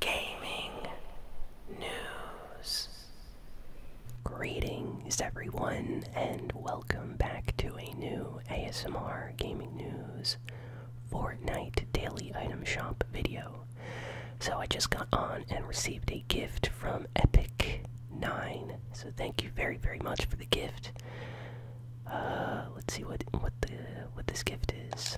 gaming news. Greetings, everyone, and welcome back to a new ASMR Gaming News Fortnite Daily Item Shop video. So, I just got on and received a gift from Epic9, so thank you very, very much for the gift. Uh, let's see what what the what this gift is.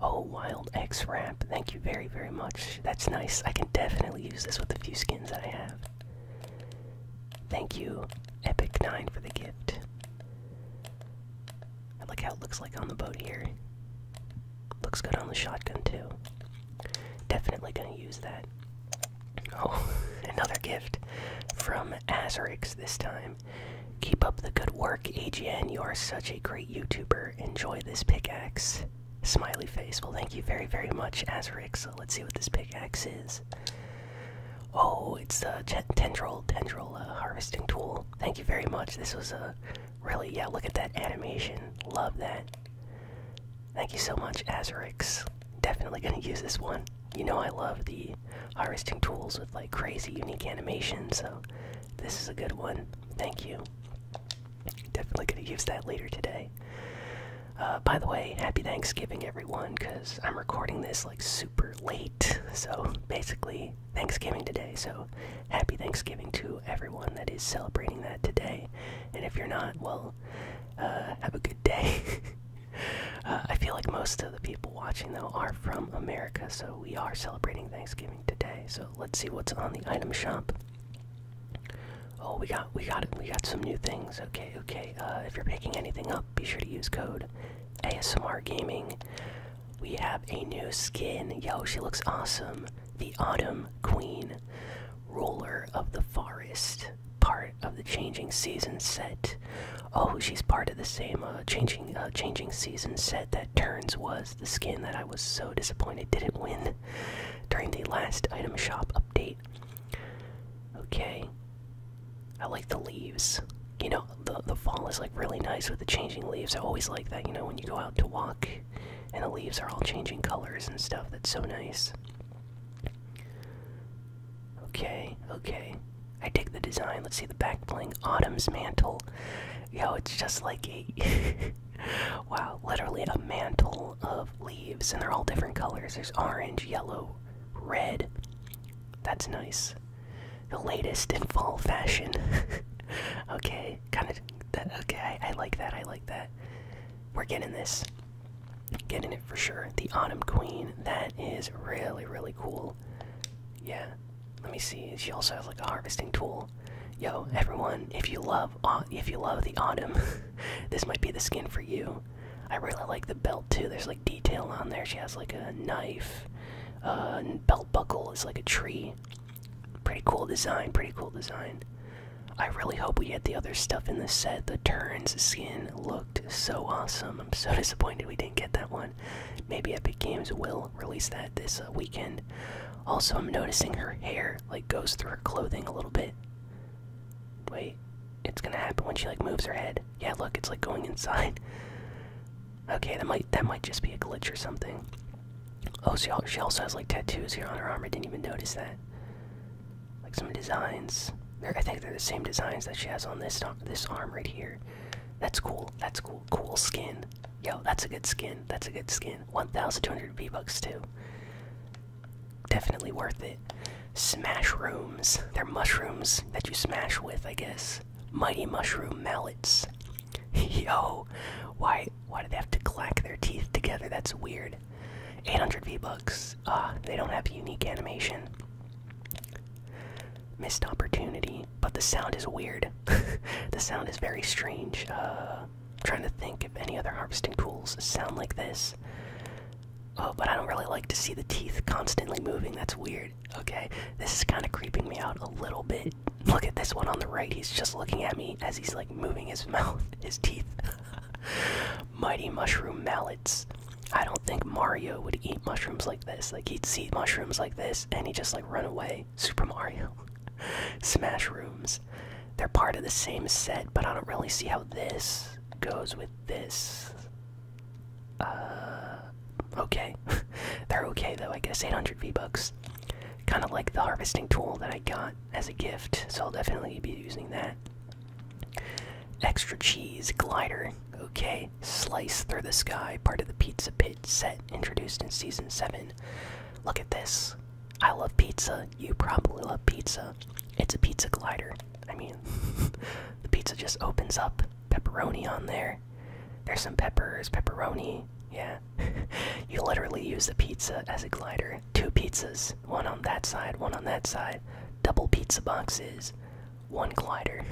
Oh, Wild X Wrap. Thank you very, very much. That's nice. I can definitely use this with a few skins that I have. Thank you, Epic9, for the gift. Look how it looks like on the boat here. Looks good on the shotgun, too. Definitely gonna use that. Oh, another gift from Azerix this time. Keep up the good work, AGN. You are such a great YouTuber. Enjoy this pickaxe. Smiley face. Well, thank you very, very much, Azric. So let's see what this pickaxe is. Oh, it's a tendril, tendril uh, harvesting tool. Thank you very much. This was a really, yeah, look at that animation. Love that. Thank you so much, Azrix. Definitely gonna use this one. You know I love the harvesting tools with like crazy unique animations, so this is a good one. Thank you. Definitely going to use that later today. Uh, by the way, happy Thanksgiving, everyone, because I'm recording this like super late. So basically, Thanksgiving today. So happy Thanksgiving to everyone that is celebrating that today. And if you're not, well, uh, have a good day. Uh, I feel like most of the people watching, though, are from America, so we are celebrating Thanksgiving today. So let's see what's on the item shop. Oh, we got we got We got some new things. Okay, okay. Uh, if you're picking anything up, be sure to use code ASMR Gaming. We have a new skin. Yo, she looks awesome. The Autumn Queen, ruler of the forest, part of the Changing Seasons set. Oh, she's part of the same uh, Changing uh, Changing Season set Turns was the skin that I was so disappointed didn't win during the last item shop update. Okay. I like the leaves. You know, the the fall is like really nice with the changing leaves. I always like that, you know, when you go out to walk and the leaves are all changing colors and stuff. That's so nice. Okay, okay. I dig the design. Let's see the back bling. Autumn's mantle. Yo, it's just like a wow, literally a mantle of leaves, and they're all different colors. There's orange, yellow, red. That's nice. The latest in fall fashion. okay, kind of. That, okay, I like that. I like that. We're getting this. Getting it for sure. The Autumn Queen. That is really, really cool. Yeah. Let me see. She also has like a harvesting tool. Yo, everyone, if you love if you love the autumn, this might be the skin for you. I really like the belt too. There's like detail on there. She has like a knife. Uh, belt buckle is like a tree. Pretty cool design. Pretty cool design. I really hope we get the other stuff in this set. The Turns skin looked so awesome. I'm so disappointed we didn't get that one. Maybe Epic Games will release that this uh, weekend. Also, I'm noticing her hair like goes through her clothing a little bit. Wait, it's gonna happen when she like moves her head. Yeah, look, it's like going inside. Okay, that might that might just be a glitch or something. Oh, she she also has like tattoos here on her arm. I didn't even notice that. Like some designs. I think they're the same designs that she has on this uh, this arm right here. That's cool. That's cool cool, skin. Yo, that's a good skin. That's a good skin. 1,200 V bucks too. Definitely worth it. Smash rooms. They're mushrooms that you smash with, I guess. Mighty mushroom mallets. Yo, why why do they have to clack their teeth together? That's weird. 800 V bucks. Ah, uh, they don't have unique animation. Missed opportunity but the sound is weird. the sound is very strange. I'm uh, trying to think if any other harvesting tools sound like this. Oh, but I don't really like to see the teeth constantly moving. That's weird. Okay, this is kind of creeping me out a little bit. Look at this one on the right. He's just looking at me as he's like moving his mouth, his teeth. Mighty mushroom mallets. I don't think Mario would eat mushrooms like this. Like he'd see mushrooms like this, and he just like. Runaway, Super Mario, Smash Rooms. They're part of the same set, but I don't really see how this goes with this. Uh, okay. They're okay though, I guess. 800 V-Bucks. Kind of like the harvesting tool that I got as a gift, so I'll definitely be using that. Extra cheese glider. Okay, Slice Through the Sky, part of the Pizza Pit set introduced in Season 7. Look at this. I love pizza. You probably love pizza. It's a pizza glider. I mean, the pizza just opens up. Pepperoni on there. There's some peppers, pepperoni. Yeah. you literally use the pizza as a glider. Two pizzas, one on that side, one on that side. Double pizza boxes one glider.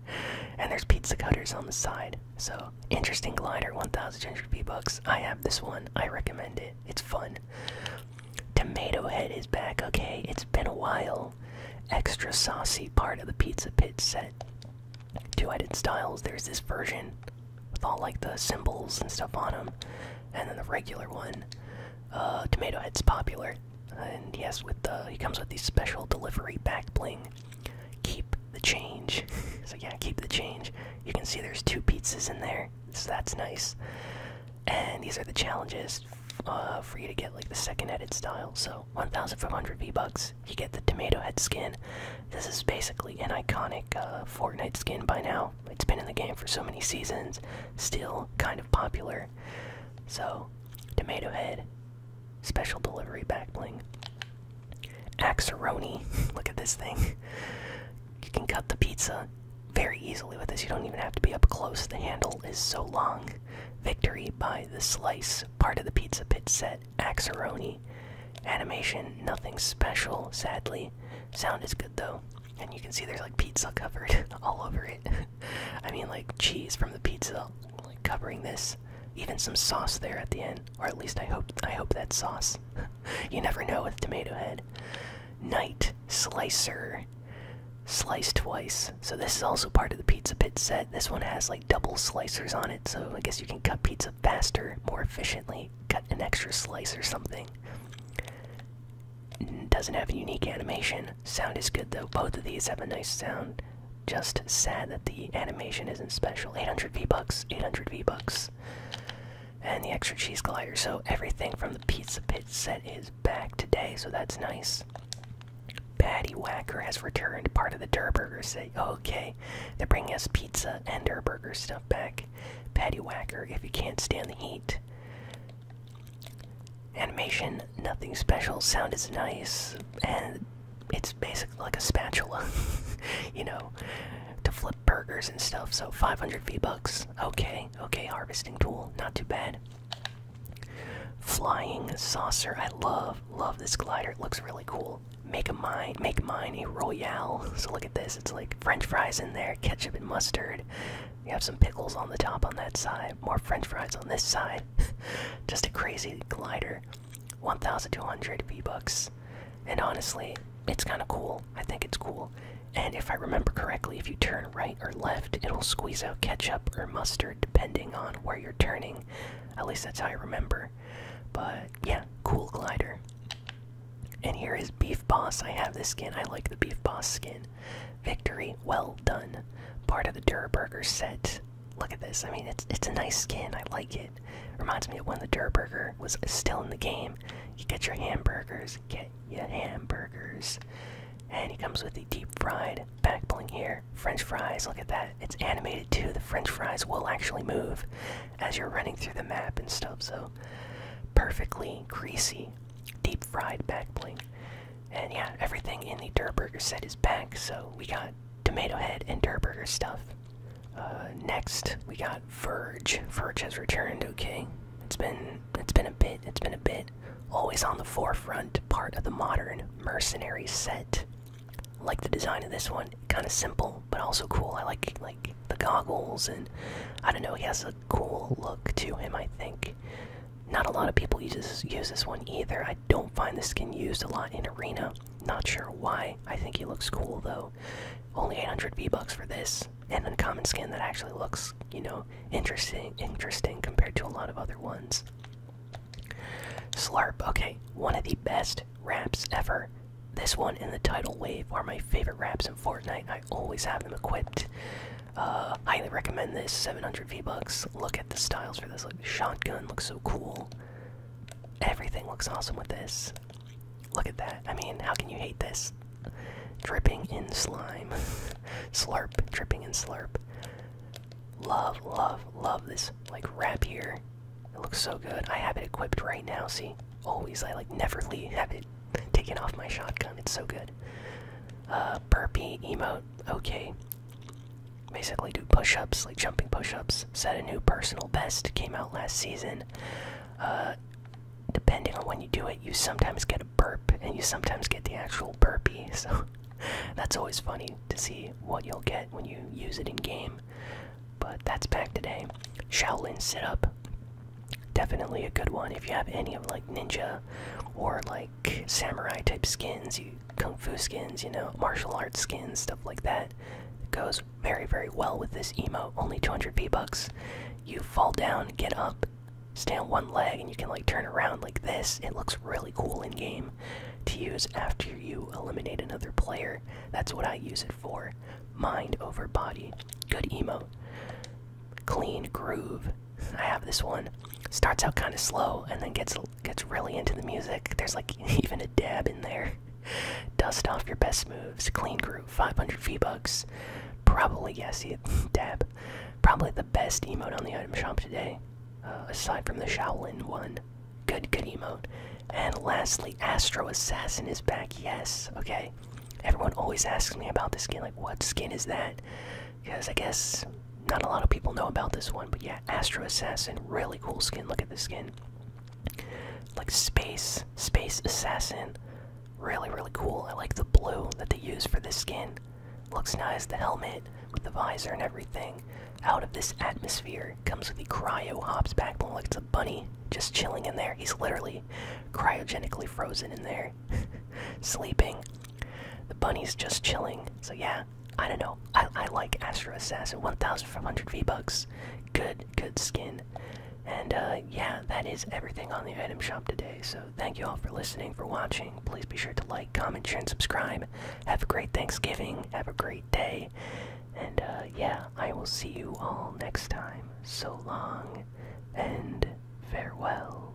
and there's pizza cutters on the side. So, interesting glider, one thousand hundred V-Bucks. I have this one. I recommend it. It's fun. Tomato Head is back. Okay, it's been a while. Extra saucy part of the Pizza Pit set. Two-headed styles. There's this version with all like the symbols and stuff on them, and then the regular one. Uh, tomato Head's popular. And yes, with the he comes with the special delivery back bling. Keep the change. so yeah, keep the change. You can see there's two pizzas in there, so that's nice. And these are the challenges uh, for you to get like the second edit style. So 1,500 V bucks. You get the tomato head skin. This is basically an iconic uh, Fortnite skin by now. It's been in the game for so many seasons. Still kind of popular. So tomato head Special delivery back bling. Axeroni. Look at this thing. You can cut the pizza very easily with this. You don't even have to be up close. The handle is so long. Victory by the slice. Part of the pizza pit set. Axeroni. Animation, nothing special, sadly. Sound is good though. And you can see there's like pizza covered all over it. I mean, like cheese from the pizza, like covering this, even some sauce there at the end, or at least I hope I hope that sauce. you never know with Tomato Head. Night slicer, slice twice. So this is also part of the pizza pit set. This one has like double slicers on it, so I guess you can cut pizza faster, more efficiently. Cut an extra slice or something. Doesn't have a unique animation. Sound is good though. Both of these have a nice sound. Just sad that the animation isn't special. 800 V bucks, 800 V bucks, and the extra cheese glider. So everything from the pizza pit set is back today, so that's nice. Patty Whacker has returned part of the Durburger set. Okay, they're bringing us pizza and Durburger stuff back. Patty Whacker, if you can't stand the heat. Animation, nothing special. Sound is nice, and it's basically like a spatula, you know, to flip burgers and stuff. So 500 V bucks. Okay, okay. Harvesting tool, not too bad. Flying saucer. I love, love this glider. It looks really cool. Make a mine. Make mine a royale. So look at this. It's like French fries in there, ketchup and mustard. You have some pickles on the top on that side more french fries on this side. Just a crazy glider. 1200 V-Bucks. And honestly, it's kind of cool. I think it's cool. And if I remember correctly, if you turn right or left, it'll squeeze out ketchup or mustard depending on where you're turning. At least that's how I remember. But yeah, cool glider. And here is Beef Boss. I have this skin. I like the Beef Boss skin. Victory, well done. Part of the Duraburger set look at this. I mean, it's it's a nice skin. I like it. Reminds me of when the Durburger was still in the game. You get your hamburgers, get your hamburgers, and he comes with the deep fried backbling here. French fries. Look at that. It's animated too. The French fries will actually move as you're running through the map and stuff. So perfectly greasy, deep fried backbling. And yeah, everything in the Durburger set is back, so we got Tomato Head and Durburger stuff. Uh, next, we got Verge. Verge has returned. Okay, it's been it's been a bit. It's been a bit. Always on the forefront, part of the modern mercenary set. Like the design of this one, kind of simple but also cool. I like like the goggles and I don't know. He has a cool look to him. I think. Not a lot of people use this, use this one either. I don't find this skin used a lot in Arena. Not sure why. I think he looks cool though. Only 800 V-Bucks for this. And a common skin that actually looks, you know, interesting interesting compared to a lot of other ones. Slurp. okay, one of the best raps ever. This one and the Tidal Wave are my favorite raps in Fortnite. I always have them equipped. Uh, highly recommend this. 700 V-Bucks. Look at the styles for this. Look, shotgun looks so cool. Everything looks awesome with this. Look at that. I mean, how can you hate this? Dripping in slime. slurp, dripping in slurp. Love, love, love this, like, wrap here. It looks so good. I have it equipped right now, see? Always, I, like, never leave, have it taken off my shotgun. It's so good. Uh, burpee emote. Okay, basically do push-ups like jumping push-ups set a new personal best came out last season uh, depending on when you do it you sometimes get a burp and you sometimes get the actual burpee so that's always funny to see what you'll get when you use it in game but that's back today shaolin sit-up definitely a good one if you have any of like ninja or like samurai type skins you kung fu skins, you know, martial arts skins, stuff like that. goes very, very well with this emo. Only 200 V-Bucks. You fall down, get up, stand on one leg, and you can like turn around like this. It looks really cool in game to use after you eliminate another player. That's what I use it for. Mind over body. Good emo. Clean groove. I have this one. Starts out kind of slow and then gets gets really into the music. There's like even a dab in there. Dust off your best moves. Clean groove. 500 V bucks. Probably yes, yeah, dab. Probably the best emote on the item shop today, uh, aside from the Shaolin one. Good, good emote. And lastly, Astro Assassin is back. Yes, okay. Everyone always asks me about the skin. Like, what skin is that? because I guess not a lot of people know about this one. But yeah, Astro Assassin, really cool skin. Look at the skin, like space, space assassin, really really cool. I like the blue that they use for this skin. Looks nice. The helmet with the visor and everything. Out of this atmosphere comes with the cryo hops back. Like it's a bunny just chilling in there. He's literally cryogenically frozen in there, sleeping. The bunny's just chilling. So yeah, I don't know. I, I like Astro Assassin. 1,500 V-Bucks. Good, good skin. And uh, yeah, that is everything on the item shop today. So thank you all for listening, for watching. Please be sure to like, comment, share, and subscribe. Have a great Thanksgiving. Have a great day. And uh, yeah, I will see you all next time. So long and farewell.